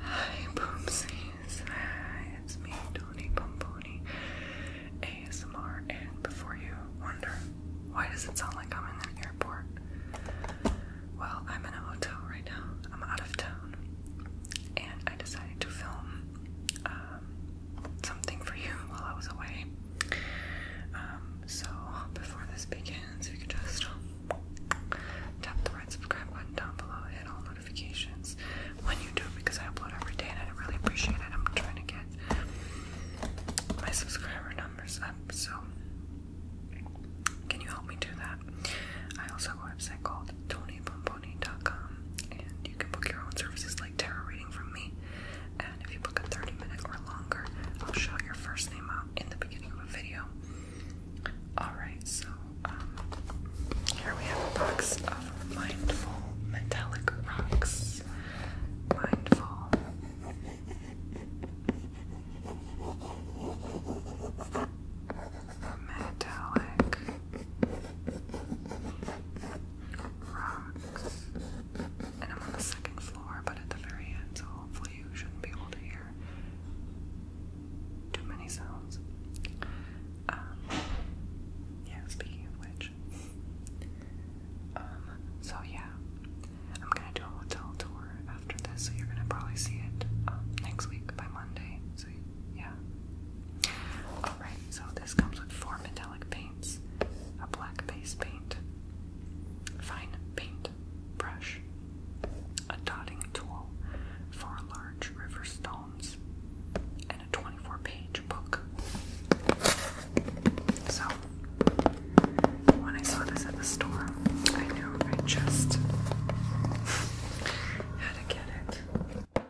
Hi, Boomsies. it's me, Tony Pomponi, ASMR. And before you wonder, why does it sound like I'm in an airport? Well, I'm in a hotel right now. I'm out of town. And I decided to film um, something for you while I was away. Um, so, before this begins, we could just Tap the right subscribe button down below, hit all notifications when you do because I upload every day and I really appreciate it. I'm trying to get my subscriber numbers up, so can you help me do that? I also have a website called TonyBomboni.com and you can book your own services like tarot reading from me. And if you book a 30 minute or longer, I'll shout your first name out in the beginning video. Alright, so um, here we have a box of mindful metallic rocks. Mindful. Metallic rocks. And I'm on the second floor, but at the very end, so hopefully you shouldn't be able to hear too many sounds. Um, yeah, speaking of which, um, so yeah, I'm gonna do a hotel tour after this, so you're gonna probably see it um, next week by Monday. yeah. Alright, so this comes with four metallic paints, a black base paint, fine paint, brush, a dotting tool for large river stones, and a 24 page book. So, when I saw this at the store, I knew I just had to get it.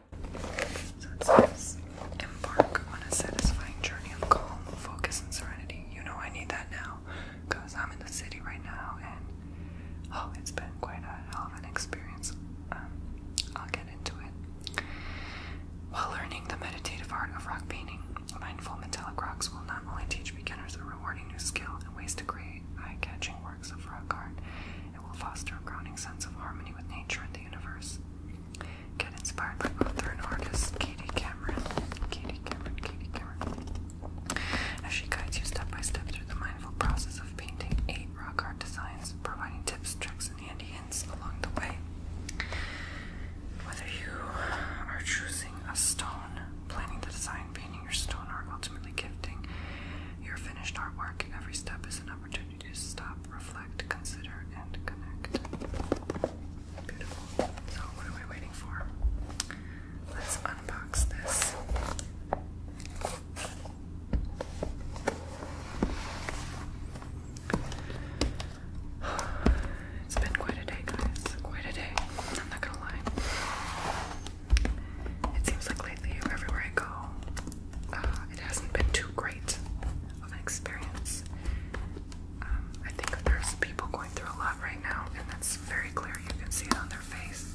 So it says, embark on a satisfying journey of calm, focus, and serenity. You know I need that now because I'm in the city right now and oh, it's been quite a hell of an experience. Um, I'll get into it. While learning the meditative art of rock painting, mindful metallic rocks will not only teach beginners a rewarding new skill and ways to create eye catching works of rock art, it will foster a grounding sense of harmony with nature and the universe. Get inspired by author and artist Katie Cameron. Katie Cameron, Katie Cameron. As she guides you step by step through the mindful process of painting eight rock art designs, providing tips, tricks, and handy hints along the way. Whether you are choosing a stone, planning the design, painting your stone, art, ultimately gifting your finished artwork, every step is an opportunity to stop, reflect, consider, and connect. Beautiful. So, what are we waiting for? Let's unbox this. It's been quite a day, guys. Quite a day. I'm not gonna lie. It seems like lately, everywhere I go, uh, it hasn't been too great of an experience. Um, I think there's people going through a lot right now, and that's very clear. You can see it on their face,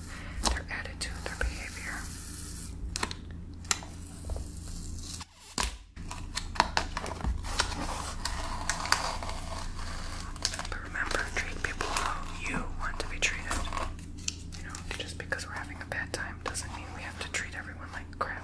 their attitude, their behavior. But remember, treat people how you want to be treated. You know, just because we're having a bad time doesn't mean we have to treat everyone like crap.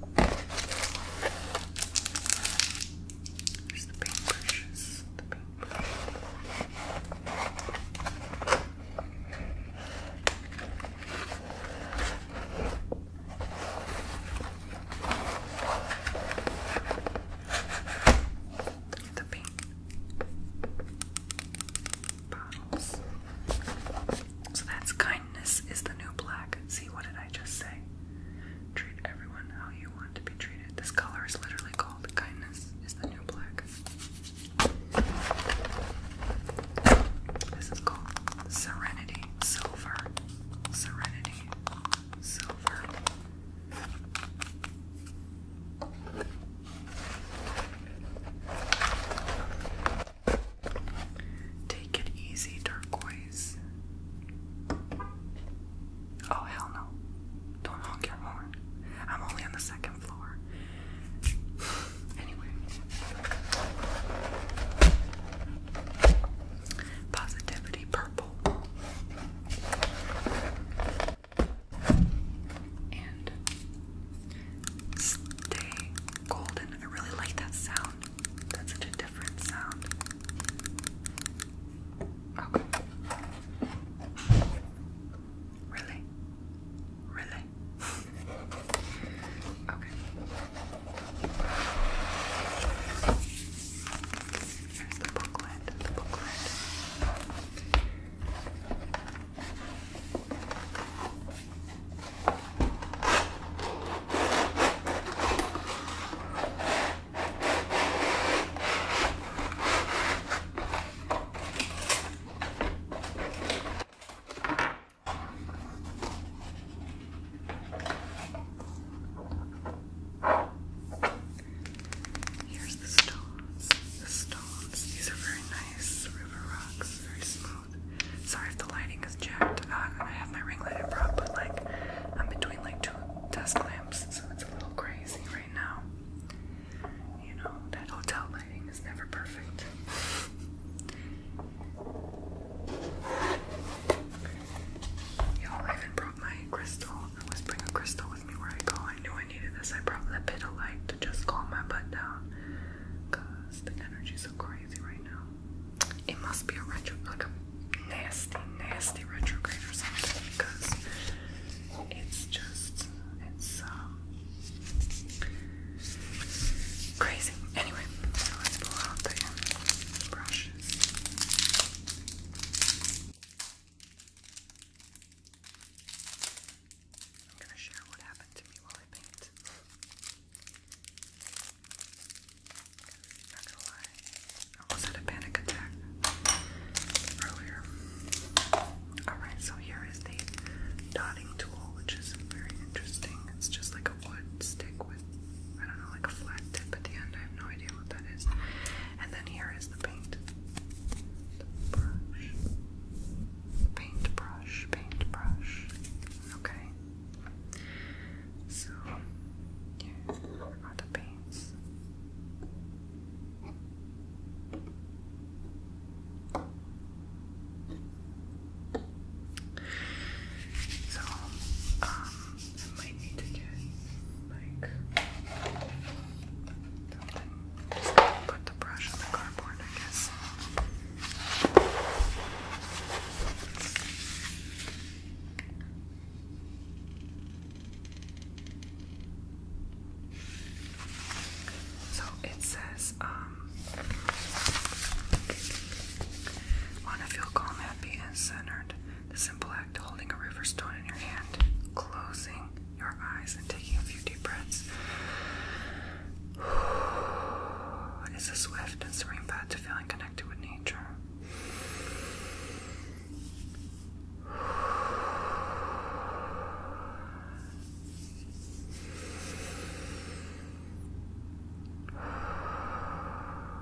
There's the paintbrushes. The paint bottles. So that's kindness is the new black. See, what did I just say? Treat everyone how you want to be treated. This color is literally called kindness, is the new black. This is called Serenity Silver. Serenity Silver. Take it easy, turquoise. Oh, hell no. Don't honk your horn. I'm only on the second floor. Anyway. Positivity purple. And stay golden. I really like that sound. That's such a different sound. Okay. Really? Really? okay. the booklet. The booklet. Here's the stones. The stones. These are very nice river rocks, very smooth. Sorry if the lighting is jacked. Uh, I have my ring light in prop, but like I'm between like two desk lamps, so it's a little crazy right now. You know, that hotel lighting is never perfect. Y'all, even brought my crystal. I always bring a crystal with me where I go. I knew I needed this. I brought the bit of light to just calm my butt down. Cause the energy's so crazy right now it must be a retro, like a nasty, nasty retrograde or something because it's just, it's um, crazy. Anyway, so let pull out the brushes. I'm gonna share what happened to me while I paint. I almost had a panic attack earlier. Alright, so here is the dotting tool, which is very interesting. It's just like a wood stick with, I don't know, like a flat tip at the end. I have no idea what that is. And then here is the paint. The brush. Paintbrush, paintbrush. Okay. So here are the paints. So, um, I might need to get like something. put the brush on the cardboard, I guess. So it says, um, want to feel calm, happy, and centered. The simple act of holding a river stone in your hand, closing your eyes, and taking a few deep breaths is a swift and serene path to feeling connected to nature.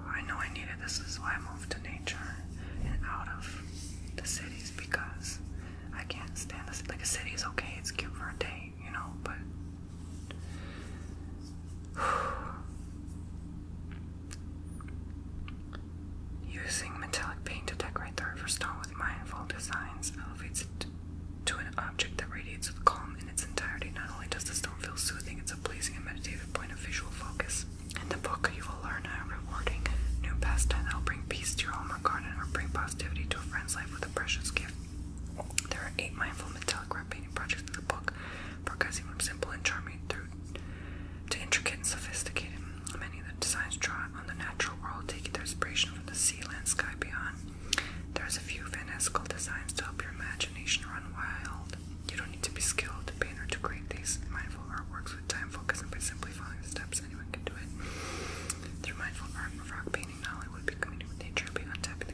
I know I needed this, is why I moved to nature and out of the cities because I can't stand the city. Like a city is okay, it's good for a day, you know, but Using metallic paint to decorate the river stone with mindful designs elevates it to an object that radiates with calm in its entirety. Not only does the stone feel soothing, it's a pleasing and meditative point of visual focus. In the book, you will learn a rewarding new pastime that will bring peace to your home or garden or bring positivity to a friend's life with a precious gift. There are eight mindful metallic red painting projects in the book because he simple and charming through to intricate and sophisticated. Many of the designs draw on the natural world, taking their inspiration from the sea, and sky beyond. There's a few fanciful designs to help your imagination run wild. You don't need to be skilled to paint or to create these mindful artworks with time, focus, and by simply following the steps, anyone can do it. Through mindful art and rock painting, not only will be nature, but untapping the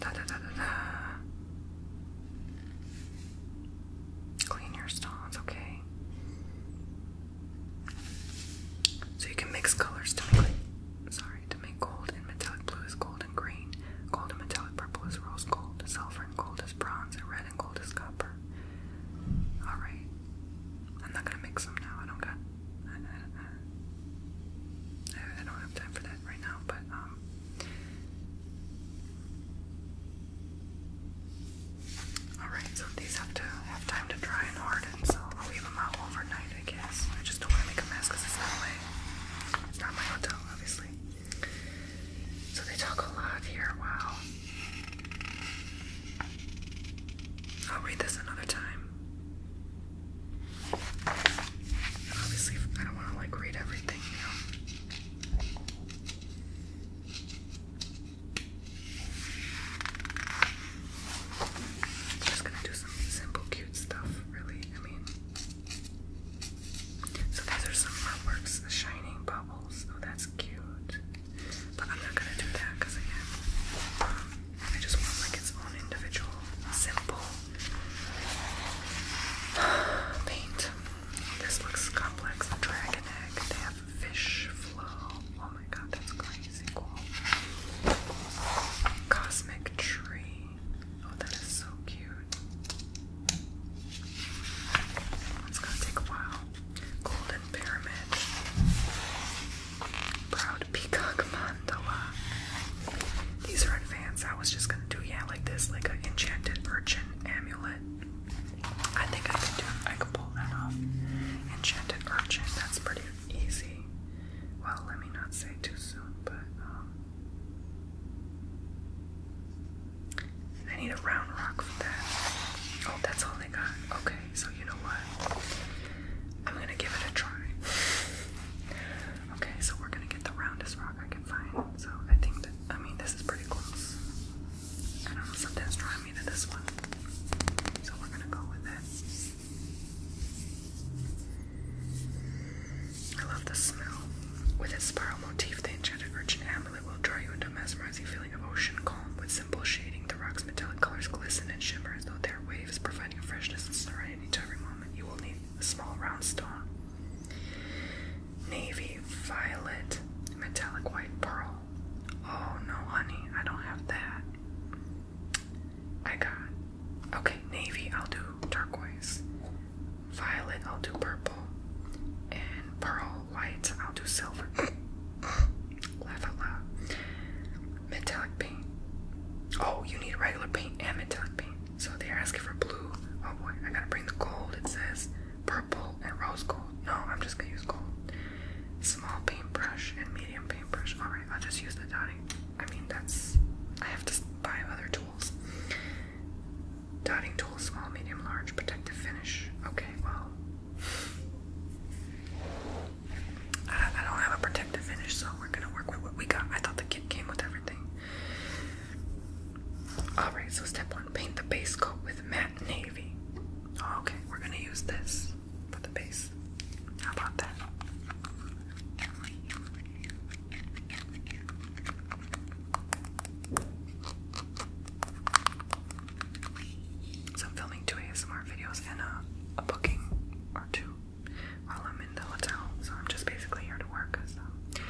Da, da, da, da, da. Clean your stars, okay. So you can mix colors to make like, sorry, to make gold and metallic blue is gold and green. Gold and metallic purple is rose gold, silver and gold is bronze, and red and gold is copper. Alright. I'm not gonna mix them now. I don't got I, I, I, I don't have time for that right now, but um Alright, so these have to have time to dry and harden, so I'll leave them out overnight, I guess. I just don't want to make a mess because it's not my, it's not my hotel, obviously. So they talk a lot here, wow. I'll read this another time. Obviously, I don't want to like read everything now. Just gonna do some simple, cute stuff, really. I mean, so these are some artworks shining bubbles. Oh, that's cute. But I'm not gonna do that because again, I just want like its own individual, simple Paint. This looks complex. The dragon egg. They have fish flow. Oh my god, that's crazy cool. Cosmic tree. Oh, that is so cute. It's gonna take a while. Golden pyramid. Proud peacock mandala. These are advanced. I was just gonna do yeah like this, like an enchanted urchin amulet. I think I can do I can pull that off. Enchanted urchin, that's pretty easy. Well, let me not say too soon, but um, I need a round rock for that. Oh, that's all they got. Okay, so you know what? I'm gonna give it a try. Okay, so we're gonna get the roundest rock I can find. So I think that, I mean, this is pretty close. I don't know, something's drawing me to this one. So we're gonna go with it. I love the smell. With its spiral motif, the enchanted urchin amulet will draw you into a mesmerizing feeling of ocean calm. With simple shading, the rock's metallic colors glisten and shimmer as though they are waves, providing freshness and serenity to every moment. You will need a small round stone Navy violet, metallic white pearl. Oh no, honey, I don't have that. I got. Okay, navy, I'll do turquoise. Violet, I'll do purple. And pearl white, I'll do silver. Laugh out loud. Metallic paint. Oh, you need regular paint and metallic paint. So they're asking for blue. Oh boy, I gotta bring the gold. It says purple and rose gold. No, I'm just gonna use gold. Small paintbrush and medium paintbrush. Alright, I'll just use the dotting. I mean, that's. I have to buy other tools. Dotting tools, small, medium, large, protective finish. Okay, well. I, I don't have a protective finish, so we're gonna work with what we got. I thought the kit came with everything. Alright, so step one paint the base coat with matte navy. Okay, we're gonna use this for the base. How about that? So I'm filming two ASMR videos and a, booking or two while I'm in the hotel. So I'm just basically here to work. So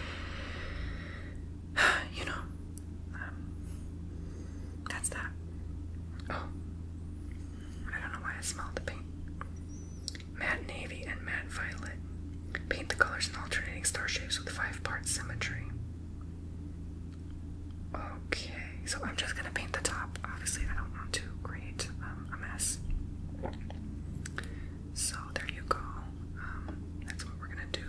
you know, um, that's that. Oh, I don't know why I smelled the paint. Matte navy and matte violet. Paint the colors in alternating star shapes with five part symmetry. Okay, so I'm just gonna paint the top. Obviously, I don't want to create um, a mess. So there you go. Um, that's what we're gonna do.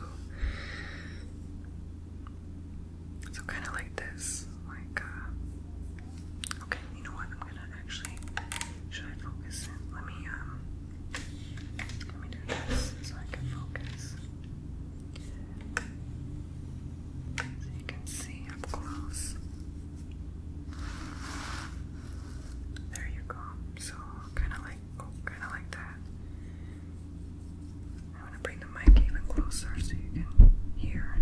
So kind of like this, like uh, okay. You know what? I'm gonna actually. Should I focus? Let me um, Let me do this so I can focus. So you can see up close. There you go. So kind of like, kind of like that. I'm gonna bring the mic even closer so you can hear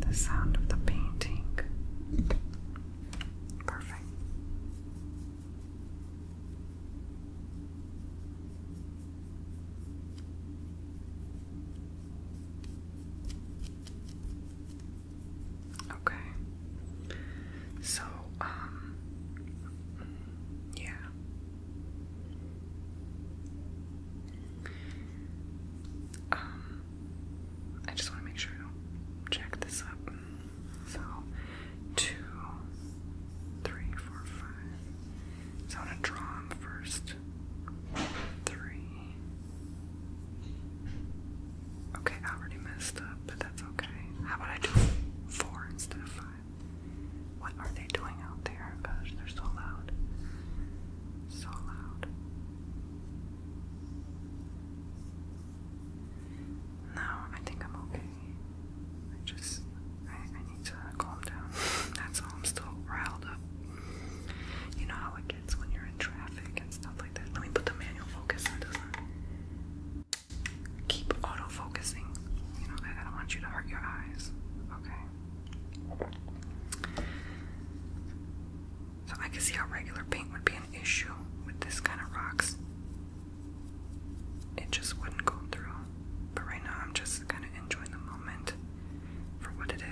the sound of the painting. Perfect. Okay. So, um, yeah. Um, I just want to make sure I do this up. So, two, three, four, five. So, I want to draw them first. Three. Okay, I already messed up, but that's okay. How about I do four instead of five? What are they doing out there? Oh gosh, they're so loud. So loud. No, I think I'm okay. I just, I, I need to calm down. That's all, I'm still riled up. You know how it gets when you're traffic and stuff like that. Let me put the manual focus on. it does keep autofocusing. You know, I don't want you to hurt your eyes. Okay. So I can see how regular paint would be an issue with this kind of rocks. It just wouldn't go through. But right now I'm just kind of enjoying the moment for what it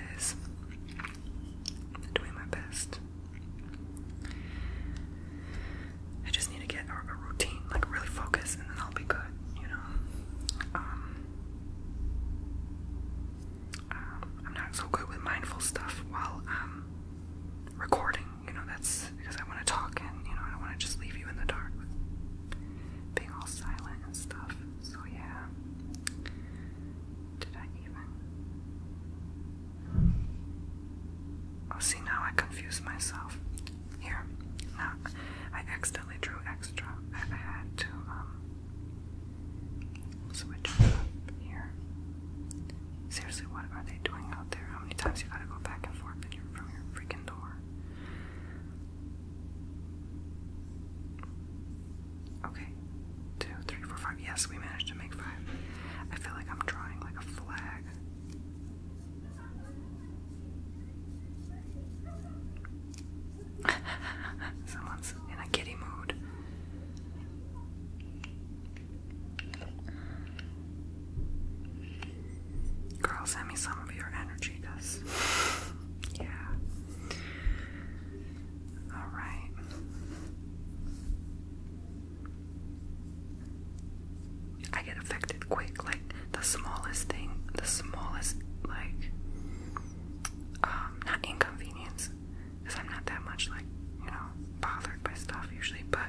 doing my best. I just need to get a, routine, like really focus, and then I'll be good, you know. Um, um, I'm not so good with mindful stuff while um, recording, you know. That's because I want to talk, and you know, I don't want to just leave you in the dark with being all silent and stuff. So yeah. Did I even? Oh, see, now I confuse myself. Here, now I accidentally drew extra. I had to um, switch here. Seriously, what are they doing out there? How many times you gotta go back and forth and you're from your freaking door? Okay, two, three, four, five. Yes, we managed to make five. I feel like I'm drawing like a flag. Someone's in a giddy mood. Girl, send me some of your energy, cuz. yeah. Alright. I get affected quick. Like the smallest thing, the smallest like um not inconvenience, because I'm not that much like, you know, bothered by stuff usually, but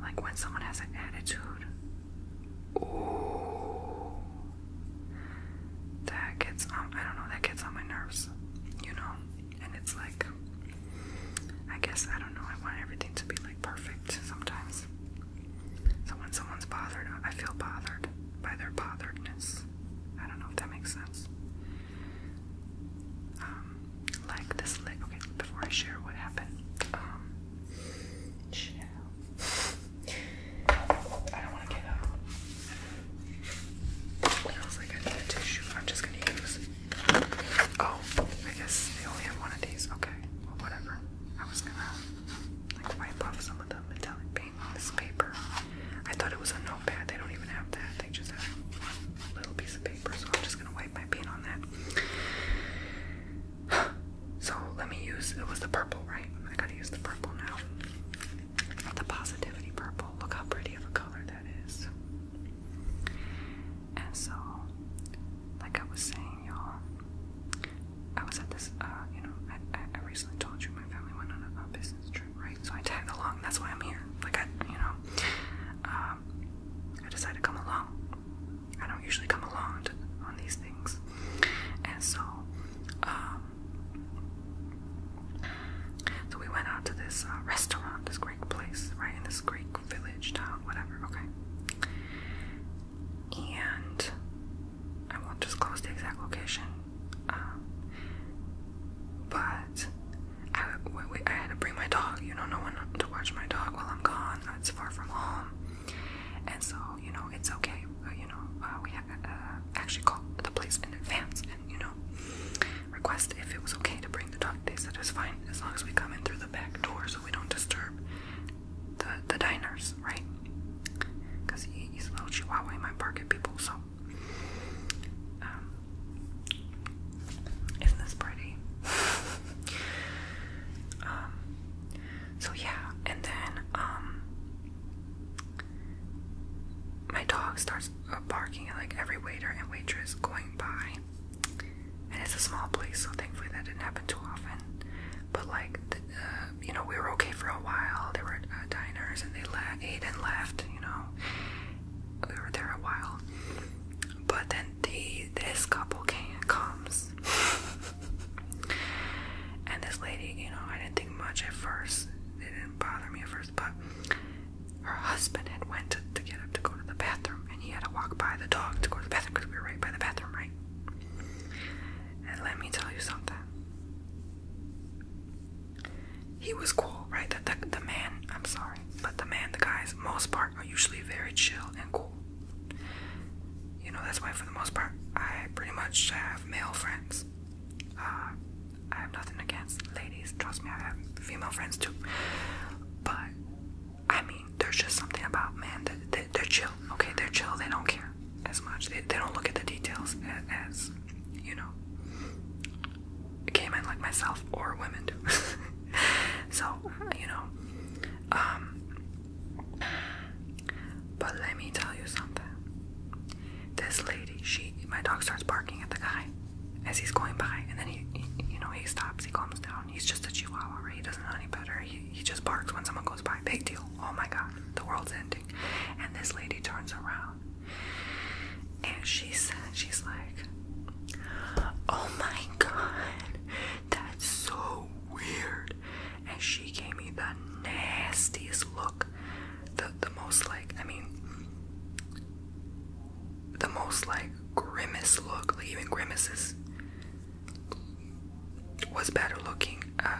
like when someone has an attitude, that gets on I don't know, that gets on my nerves, you know and it's like I guess I don't know, I want everything to be like perfect sometimes. So when someone's bothered, I feel bothered by their botheredness. I don't know if that makes sense. Um, like this leg. Okay, before I share what happened, um, I don't want to get up. feels like I need a tissue. I'm just gonna use Oh, I guess they only have one of these. Okay, well, whatever. I was gonna like wipe off some of the metallic paint on this paper. I thought it was a notepad. They don't even have that. They just have little piece of paper. So I'm just gonna wipe my paint on that. so let me use. It was the purple, right? I gotta use the purple now. The positivity purple. Look how pretty of a color that is. And so, like I was saying, y'all, I was at this, uh, you know, I, I, recently told you my family went on a, a business trip, right? So I tagged along. That's why I'm here. Like I, you know, um, I decided to come along. I don't usually come along on these things, and so, um, so we went out to this uh, restaurant, this great place, right? in this Greek village town, whatever, okay. And I won't disclose the exact location, um, but I had to bring my dog, you know, no one to watch my dog while I'm gone, it's far from home, and so, you know, it's okay, you know, uh, we had uh, actually called the place in advance, and, you know, request if it was okay to bring the dog. They said it was fine as long as we come in through the back door so we don't disturb the, the diners, right? Because he, he's a little chihuahua, might bark at people, so. Um, isn't this pretty? um, so yeah, and then um, my dog starts barking at like every waiter and waitress going by and it's a small place, so thankfully that didn't happen too often. But like, uh, you know, we were okay for a while. There were uh, diners, and they ate and left. You know, we were there a while. But then the this couple came, comes, and this lady, you know, I didn't think much at first. It didn't bother me at first, but her husband had went to get up to go to the bathroom, and he had to walk by the dog to go to the bathroom because we were right by the bathroom, right? And let me tell you something. He was cool, right? The, the, the man, I'm sorry, but the man, the guys, most part, are usually very chill and cool. You know, that's why for the most part, I pretty much have male friends. Uh, I have nothing against ladies. Trust me, I have female friends too. But I mean, there's just something about men that they, are chill. Okay, they're chill. They don't care as much. They, don't look at the details as, you know, gay men like myself or women do. so you know, um, but let me tell you something. This lady, she, my dog starts barking at the guy as he's going by, and then he, you know, he stops, he calms down. He's just a chihuahua, right? He doesn't know any better. He, he just barks when someone goes by. Big deal. Oh my god, the world's ending. And this lady turns around, and she said, she's like, "Oh my god, that's so weird." And she gave me the nastiest look, the the most like, I mean the most like grimace look, like even grimaces was better looking, uh,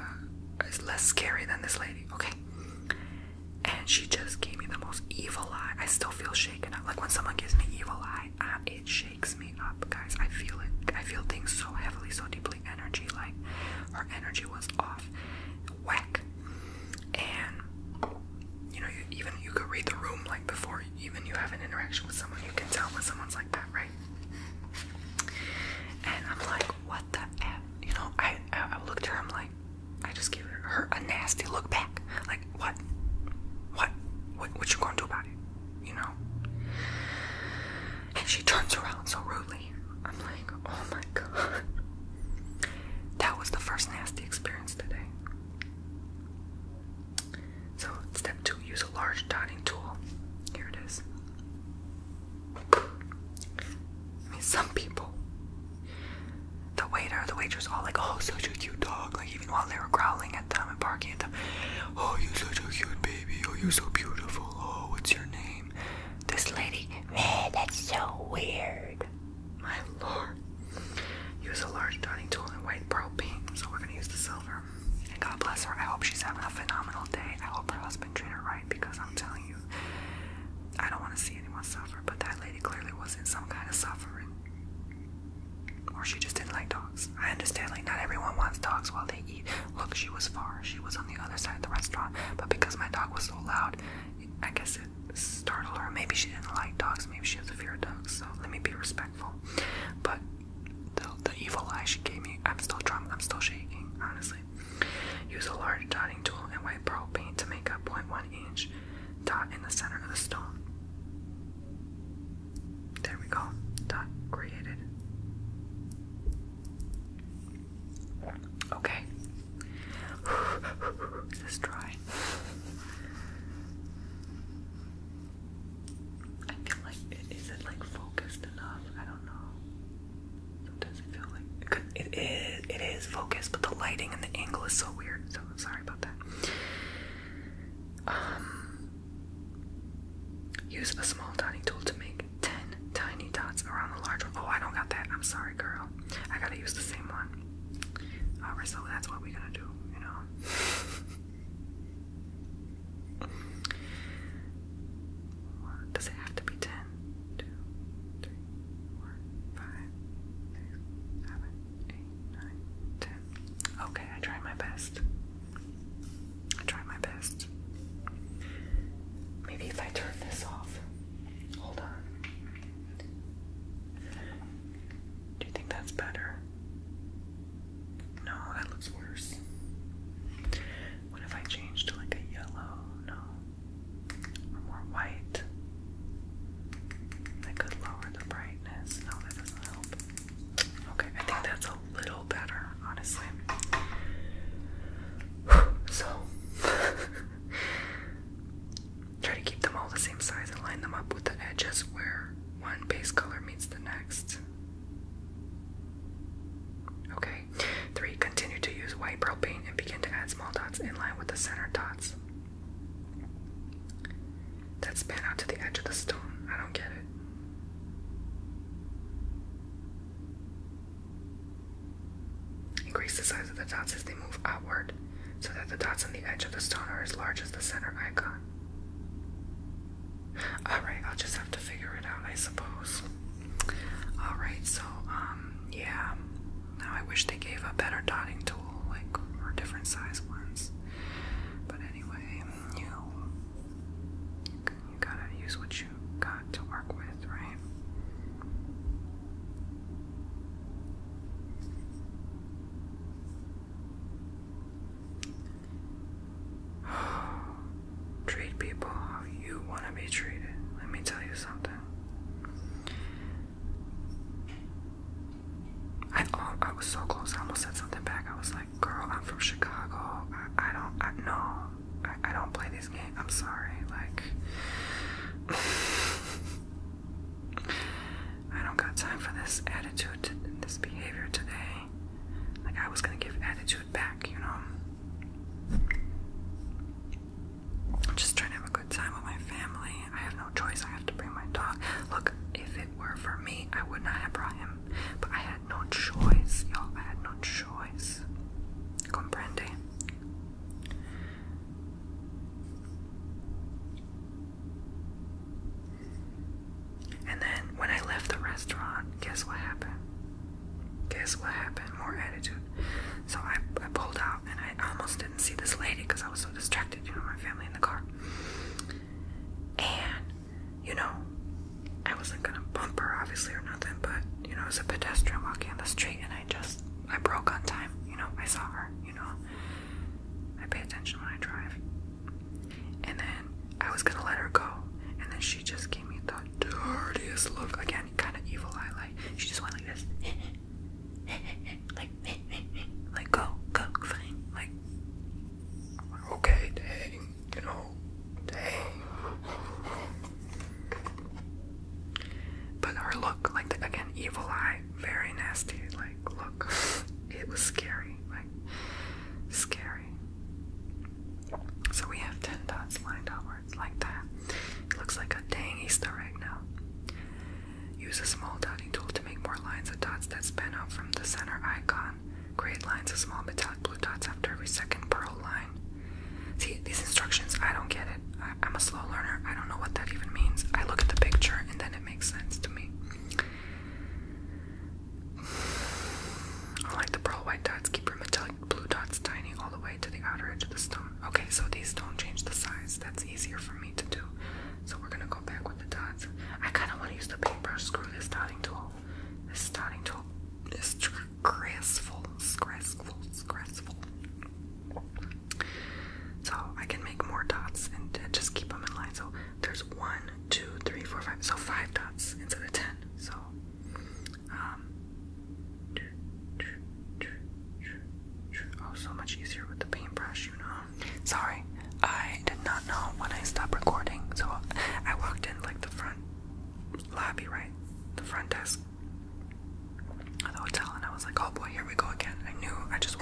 is less scary than this lady, okay? And she just gave me the most evil eye. I still feel shaken up. Like when someone gives me evil eye, uh, it shakes me up, guys. I feel it. I feel things so heavily, so deeply. Energy, like her energy was off, whack and you know, even you could read the room like before even you have an interaction with someone, you can tell when someone's like that, right? And I'm like, what the f? You know, I I, I at her, I'm like, I just gave her a nasty look back, like what, what, what, what you gonna do about it, you know? And she turns around so rudely. I'm like, oh my god. That was the first nasty experience today. So, step two use a large dotting tool. Here it is. I mean, some people, the waiter, the waitress, all like, oh, such a cute dog. Like, even while they were growling at them and barking at them, oh, you're such a cute baby. Oh, you're so beautiful. Oh, what's your name? This lady, man, that's so weird. My lord. Use a large dining tool and white pearl pink. So we're gonna use the silver. And God bless her. I hope she's having a phenomenal day. I hope her husband treated her right because I'm telling you, I don't want to see anyone suffer. But that lady clearly was in some kind of suffering. Or she just didn't like dogs. I understand, like, not everyone wants dogs while they eat. Look, she was far. She was on the other side of the restaurant. But because my dog was so loud, I guess it startle her. Maybe she didn't like dogs. Maybe she has a fear of dogs. So let me be respectful. But the, evil eye she gave me, I'm still drunk. I'm still shaking, honestly. Use a large dotting tool and white pearl paint to make a 0.1 inch dot in the center of the stone. There we go. Dot created. Okay. this is dry. I feel like it, is it like focused enough? I don't know. Sometimes I feel like it is, it is focused, but the lighting and the angle is so weird. So sorry about that. Um, use a small dotting tool to make ten tiny dots around the large one. Oh, I don't got that. I'm sorry, girl. I gotta use the same one. Alright, so that's what we're gonna do, you know. Does it have to be ten? Two, three, four, five, six, seven, eight, nine, ten. Okay, I tried my best. I tried my best. Maybe if I turn this off. Hold on. Do you think that's better? No, that looks worse. What if I change to like a yellow? No. Or more white? I could lower the brightness. No, that doesn't help. Okay, I think that's a little better, honestly. So, Try to keep them all the same size and line them up with the edges where one base color meets the next. Okay. Three, continue to use white pearl paint and begin to add small dots in line with the center dots That's span out to the edge of the stone. I don't get it. Increase the size of the dots as they move outward so that the dots on the edge of the stone are as large as the center icon. Alright, I'll just have to figure it out, I suppose. Alright, so, um, yeah. Now I wish they gave a better dotting tool, like, or different size ones. But anyway, you, you gotta use what you got to work with, right? Treat people how you want to be treated. Let me tell you something. I, oh, I was so close. I almost said something back. I was like, "Girl, I'm from Chicago. I, don't. I no. I, I don't play these games. I'm sorry. Like, I don't got time for this attitude, this behavior today. Like, I was gonna give attitude back, you know? I'm just trying to have a good time with my family. I have no choice. I have to bring my dog. Look, if it were for me, I would not have brought him. But I had no choice, y'all. I had no choice. Comprende? And then when I left the restaurant, guess what happened? Guess what happened? More attitude. So I, I pulled out and I almost didn't see this lady because I was so distracted, you know, my family in the car. And, you know, I wasn't gonna bump her obviously or nothing, but you know, it was a pedestrian walking on the street and I just I broke on time, you know, I saw her you know. I pay attention when I drive. And then I was gonna let her go. And then she just gave me the dirtiest look. Again, kinda evil eye like she just went like this. like like go, go, fine. Like okay, dang, you know, dang. But her look, like the, again, evil eye, very nasty, like look, it was scary, like, scary. So we have 10 dots lined upwards like that. It looks like a dangy star right now. Use a small dotting tool to make more lines of dots that spin out from the center icon. Create lines of small metallic blue dots after every second pearl line. See, these instructions, I don't get it. I, I'm a slow learner. I don't know what that even means. I look at the picture and then it that makes sense to me. I like the pearl white dots, keep your metallic blue dots tiny all the way to the outer edge of the stone. Okay, so these don't change the size. That's easier for me to do. So we're gonna go back with the dots. I kind of want to use the paintbrush. Screw this dotting tool. This dotting tool is stressful, stressful, stressful. So I can make more dots and just keep them in line. So there's one, two, three, four, five. So five dots instead of ten. So um Oh so much easier with the paintbrush, you know. Sorry, I did not know when I stopped recording. So I walked in like the front lobby, right? The front desk of the hotel and I was like, oh boy, here we go again. I knew, I just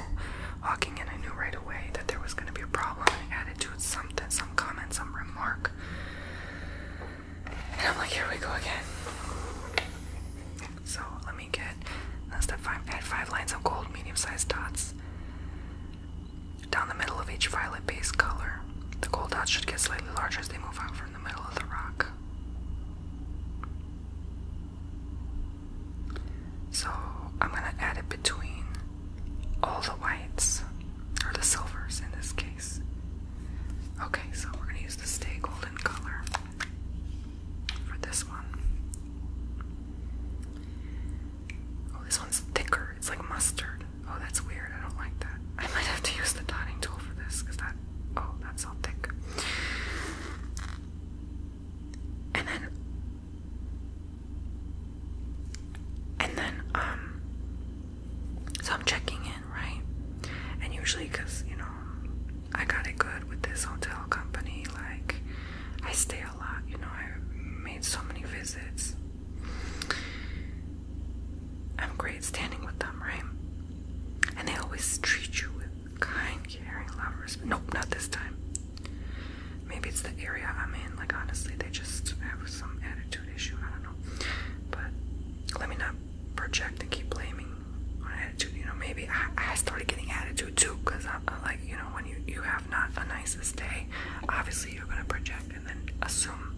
walking in, I knew right away that there was going to be a problem, an attitude, something, some comment, some remark. And I'm like, here we go again. So let me get, that's that five, I add five lines of gold medium sized dots down the middle of each violet base color. The gold dots should get slightly larger as they move out from the middle of the rock. So I'm gonna add it between all the whites, or the silvers in this case. Okay, so we're gonna use the Stay Golden color for this one. Oh, this one's thicker. It's like mustard. Oh, that's weird. I don't like that. I might have to use the dotting tool for this because that. Oh, that's all thick and then and then um so I'm checking in right and usually because you know I got it good with this hotel company like I stay a lot you know I made so many visits I'm great standing with them right and they always treat you with Kind, caring, lovers. Nope, not this time. Maybe it's the area I'm in. Like, honestly, they just have some attitude issue. I don't know. But let me not project and keep blaming on attitude. You know, maybe I, I started getting attitude too because I'm like, you know, when you, you have not a nicest day, obviously you're going to project and then assume.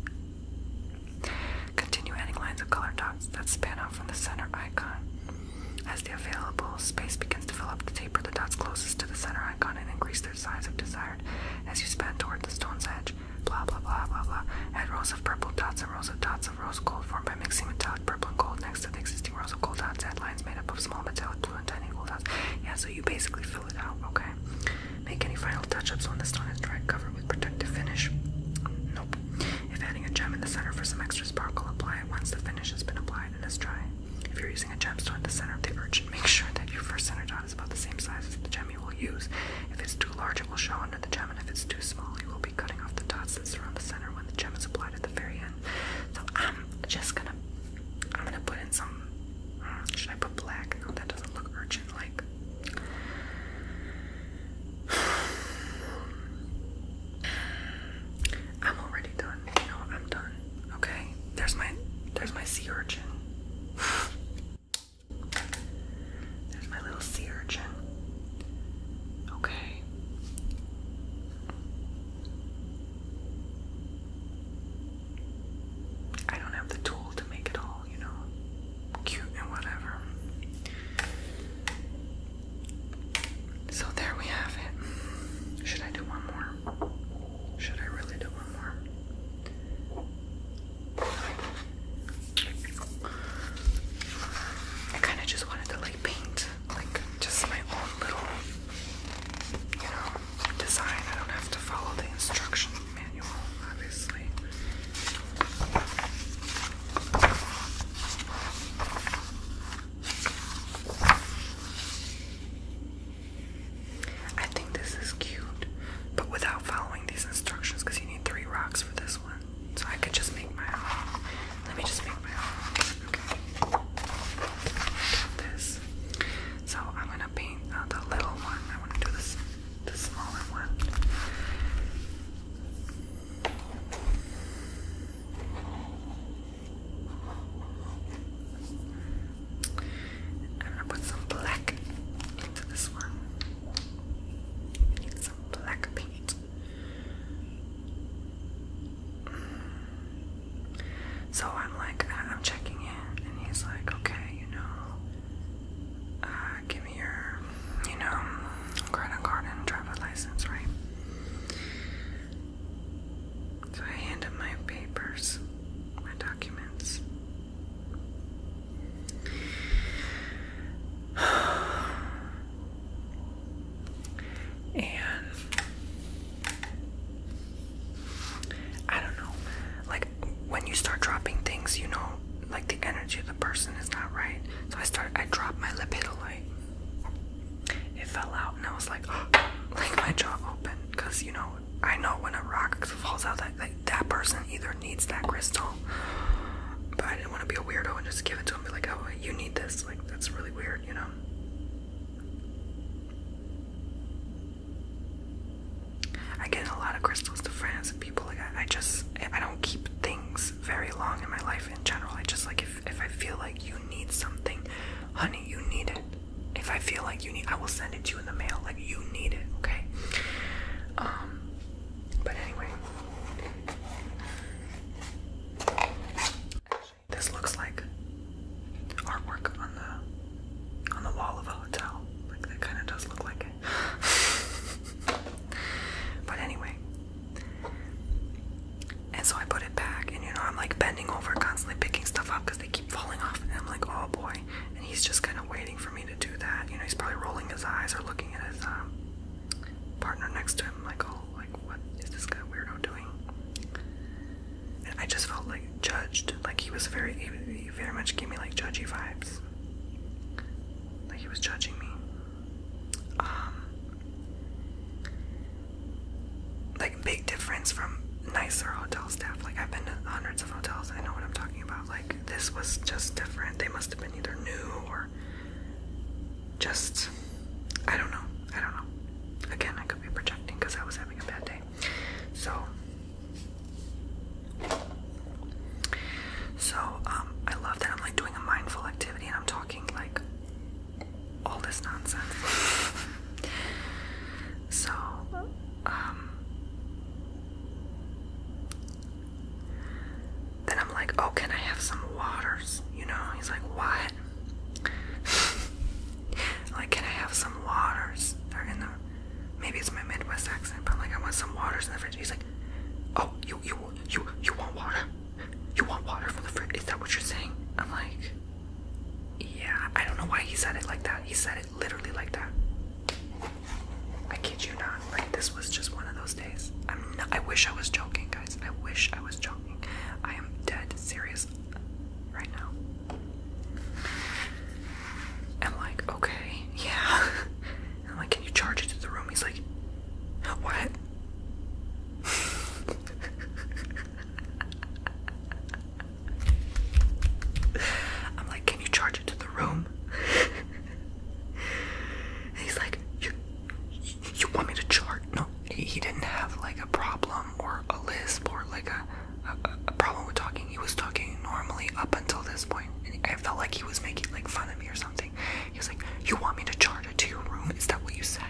Continue adding lines of color dots that span out from the center icon. As the available space begins to fill up, the taper the dots closest to the center icon and increase their size if desired. As you span toward the stone's edge, blah blah blah blah blah, add rows of purple dots and rows of dots of rose gold formed by mixing metallic purple and gold next to the existing rows of gold dots. Add lines made up of small metallic blue and tiny gold dots. Yeah, so you basically fill it out, okay? Make any final touch-ups when the stone is dry, cover with protective finish. Nope. If adding a gem in the center for some extra sparkle, apply it once the finish has been applied and is dry. If you're using a gemstone at the center of the urchin, make sure that your first center dot is about the same size as the gem you will use. If it's too large, it will show under the gem, and if it's too small, you will be cutting off the dots that surround the center when the gem is applied at the very end. So I'm just gonna, I'm gonna put in some. Should I put black? No, that doesn't look urchin-like. I'm already done. No, I'm done. Okay. There's my there's my sea urchin. there's my little sea urchin. Okay. I don't have the tool to make it all, you know, cute and whatever. So there we have it. Should I do one more? Should I really do one more? I kind of just wanted to like paint like just my own little you know design. I don't have to follow the instruction manual, obviously. I think this is cute, but without following these instructions because you need three rocks for this one. So I could just make my Let me just make my Okay. this. So I'm gonna paint uh, the little one. I want to do this, the smaller one. I'm gonna put some black into this one. need some black paint. So I'm like, I'm checking in, and he's like, okay, you know, uh, give me your, you know, credit card and driver license, right? So I hand him my papers, my documents. And I don't know. Like when you start dropping things, you know, like the energy of the person is not right. So I start I dropped my lipidolite it fell out and I was like, oh, like my jaw open, because you know I know when a rock falls out that like that person either needs that crystal, but I didn't want to be a weirdo and just give it to him and be like, oh, you need this. Like that's really weird, you know. I get a lot of crystals to friends and people. Like I just I don't keep things very long in my life in general. I just like if if, I feel like you need something, honey, you need it. If I feel like you need, I will send it to you in the mail. Like you need it, okay? Um, but anyway, this looks like artwork on the on the wall of a hotel. Like that kind of does look like it. but anyway, and so I put it back, and you know, I'm like bending over, constantly picking stuff up because they keep falling off. And I'm like, oh boy. And he's just kind of waiting for me to do that. You know, he's probably rolling his eyes or looking at his um, partner next to him, like, oh, like, what is this guy weirdo doing? And I just felt like judged. Like, he was very, he very much gave me like judgy vibes. Like, he was judging me. Um, like big difference from nicer hotel staff. Like I've been to hundreds of hotels, I know what I'm talking about. Like this was just different. They must have been either new or just I don't know. I don't know. Again, I could be projecting because I was having a bad day. So so um I love that I'm like doing a mindful activity and I'm talking like all this nonsense. so, um, then I'm like, oh, can I have some waters? You know, he's like, what? like, can I have some waters? They're in the, maybe it's my Midwest accent, but i like, I want some waters in the fridge. He's like, oh, you, you, you, you want water? You want water from the fridge? Is that what you're saying? I'm like, yeah, I don't know why he said it like that. He said it literally like that. I kid you not. Like this was just one of those days. I'm not, I wish I was joking, guys. I wish I was joking. I am dead serious right now. I'm like, okay, yeah. I'm like, can you charge it to the room? He's like, what? I'm like, can you charge it to the room? and he's like, you, you want me to charge? No, he, didn't have like a problem or a lisp or like a, a, problem with talking. He was talking normally up until this point. And I felt like he was making like fun of me or something. He was like, you want me to charge it to your room? Is that what you said?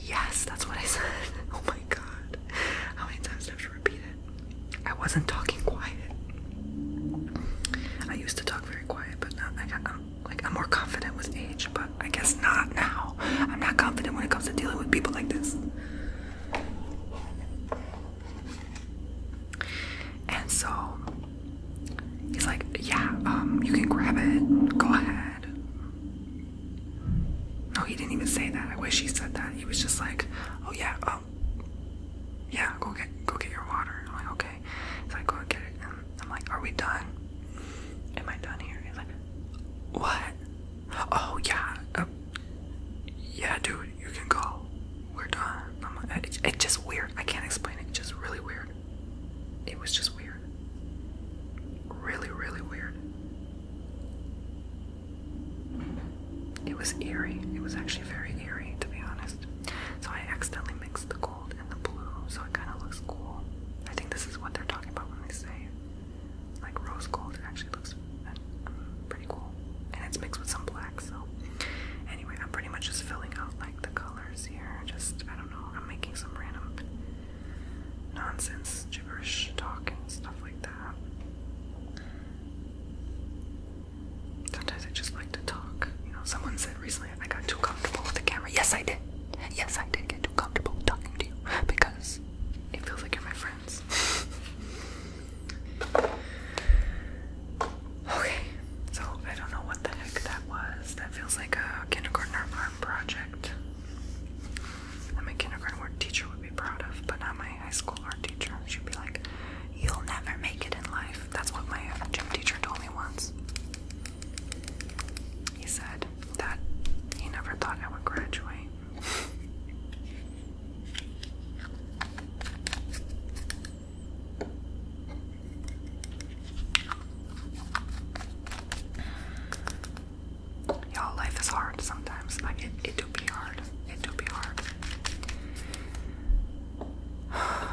Yes, that's what I said. Oh my god. How many times do I have to repeat it? I wasn't talking quiet. I used to talk very quiet, but now I got, like, I'm more confident with age, but I guess not now. I'm not confident when it comes to dealing with people like this. And so, He's like, yeah, um, you can grab it. Go ahead. No, he didn't even say that. I wish he said that. He was just like, oh yeah, oh yeah, go get, go get your water. I'm like, okay. He's like, go get it. And I'm like, are we done? Am I done here? He's like, what? Oh yeah, uh, yeah, dude, you can go. We're done. I'm like, it's just weird. I can't explain it. It's just really weird. It was just weird. Really, really weird. It was eerie. It was actually very eerie, to be honest. So I accidentally mixed the gold and the blue, so it kind of looks cool. I think this is what they're talking about when they say, like, rose gold. It actually looks pretty cool. And it's mixed with some black, so. Anyway, I'm pretty much just filling out, like, the colors here. Just, I don't know, I'm making some random nonsense, gibberish talk and stuff like that. Sometimes I just like to talk. You know, someone said recently I got too comfortable with the camera. Yes, I did. Yes, I did get too comfortable talking to you because it feels like you're my friends. Okay, so I don't know what the heck that was. That feels like a kindergarten art project that my kindergarten art teacher would be proud of, but not my high school art teacher. She'd be like, You'll never make it in life. That's what my gym teacher told me once. He said that he never thought I would graduate. Y'all, life is hard sometimes. Like it, it do be hard. It do be hard.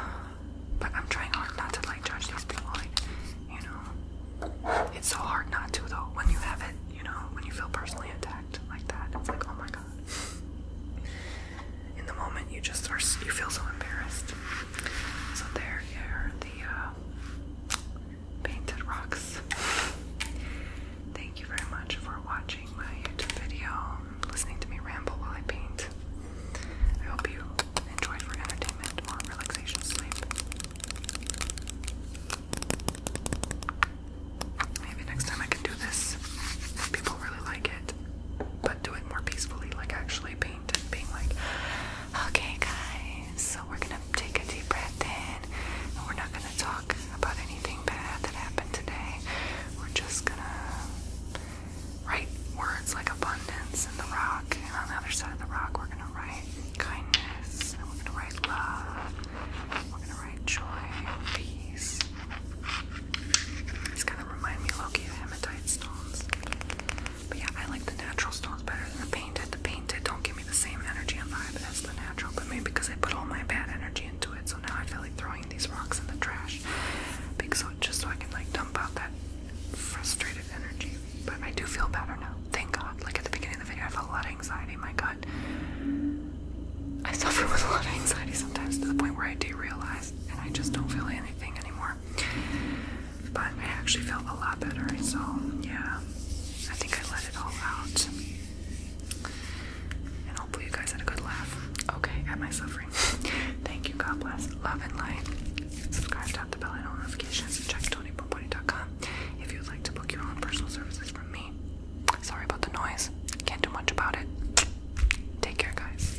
But I'm trying hard not to like judge these people. you know, it's so hard not to though. When you have it, you know, when you feel personally attacked like that, it's like, oh my god in the moment you just are you feel so embarrassed. So there are the uh, painted rocks. Thank you very much for watching my YouTube video, listening to me ramble while I paint. I hope you enjoyed for entertainment or relaxation sleep. Maybe next time I can do this people really like it but do it more peacefully, like actually paint and being like, okay, guys, so we're gonna take a deep breath in, and we're not gonna talk about anything bad that happened today. We're just gonna write words like abundance and the rock, and on the other side of the rock, we're gonna write kindness, and we're gonna write love, we're gonna write joy, and peace. It's gonna remind me, of hematite stones. But yeah, I like the natural stones better than the painted. The painted don't give me the same energy and vibe that's the natural, but maybe because I put all my bad energy into it, so now I feel like throwing these rocks in the trash. Because so, just so I can like dump out that frustrated energy. But I do feel better now. Thank God. Like at the beginning of the video, I felt a lot of anxiety. My God. I suffer with a lot of anxiety sometimes to the point where I do realize and I just don't feel anything anymore before. But I actually felt a lot better, so yeah. I think I let it all out. And hopefully you guys had a good laugh. Okay, at my suffering. Thank you, God bless. Love and light. Subscribe, tap the bell, and all notifications, and check TonyPoPony.com if you would like to book your own personal services from me. Sorry about the noise. Can't do much about it. Take care, guys.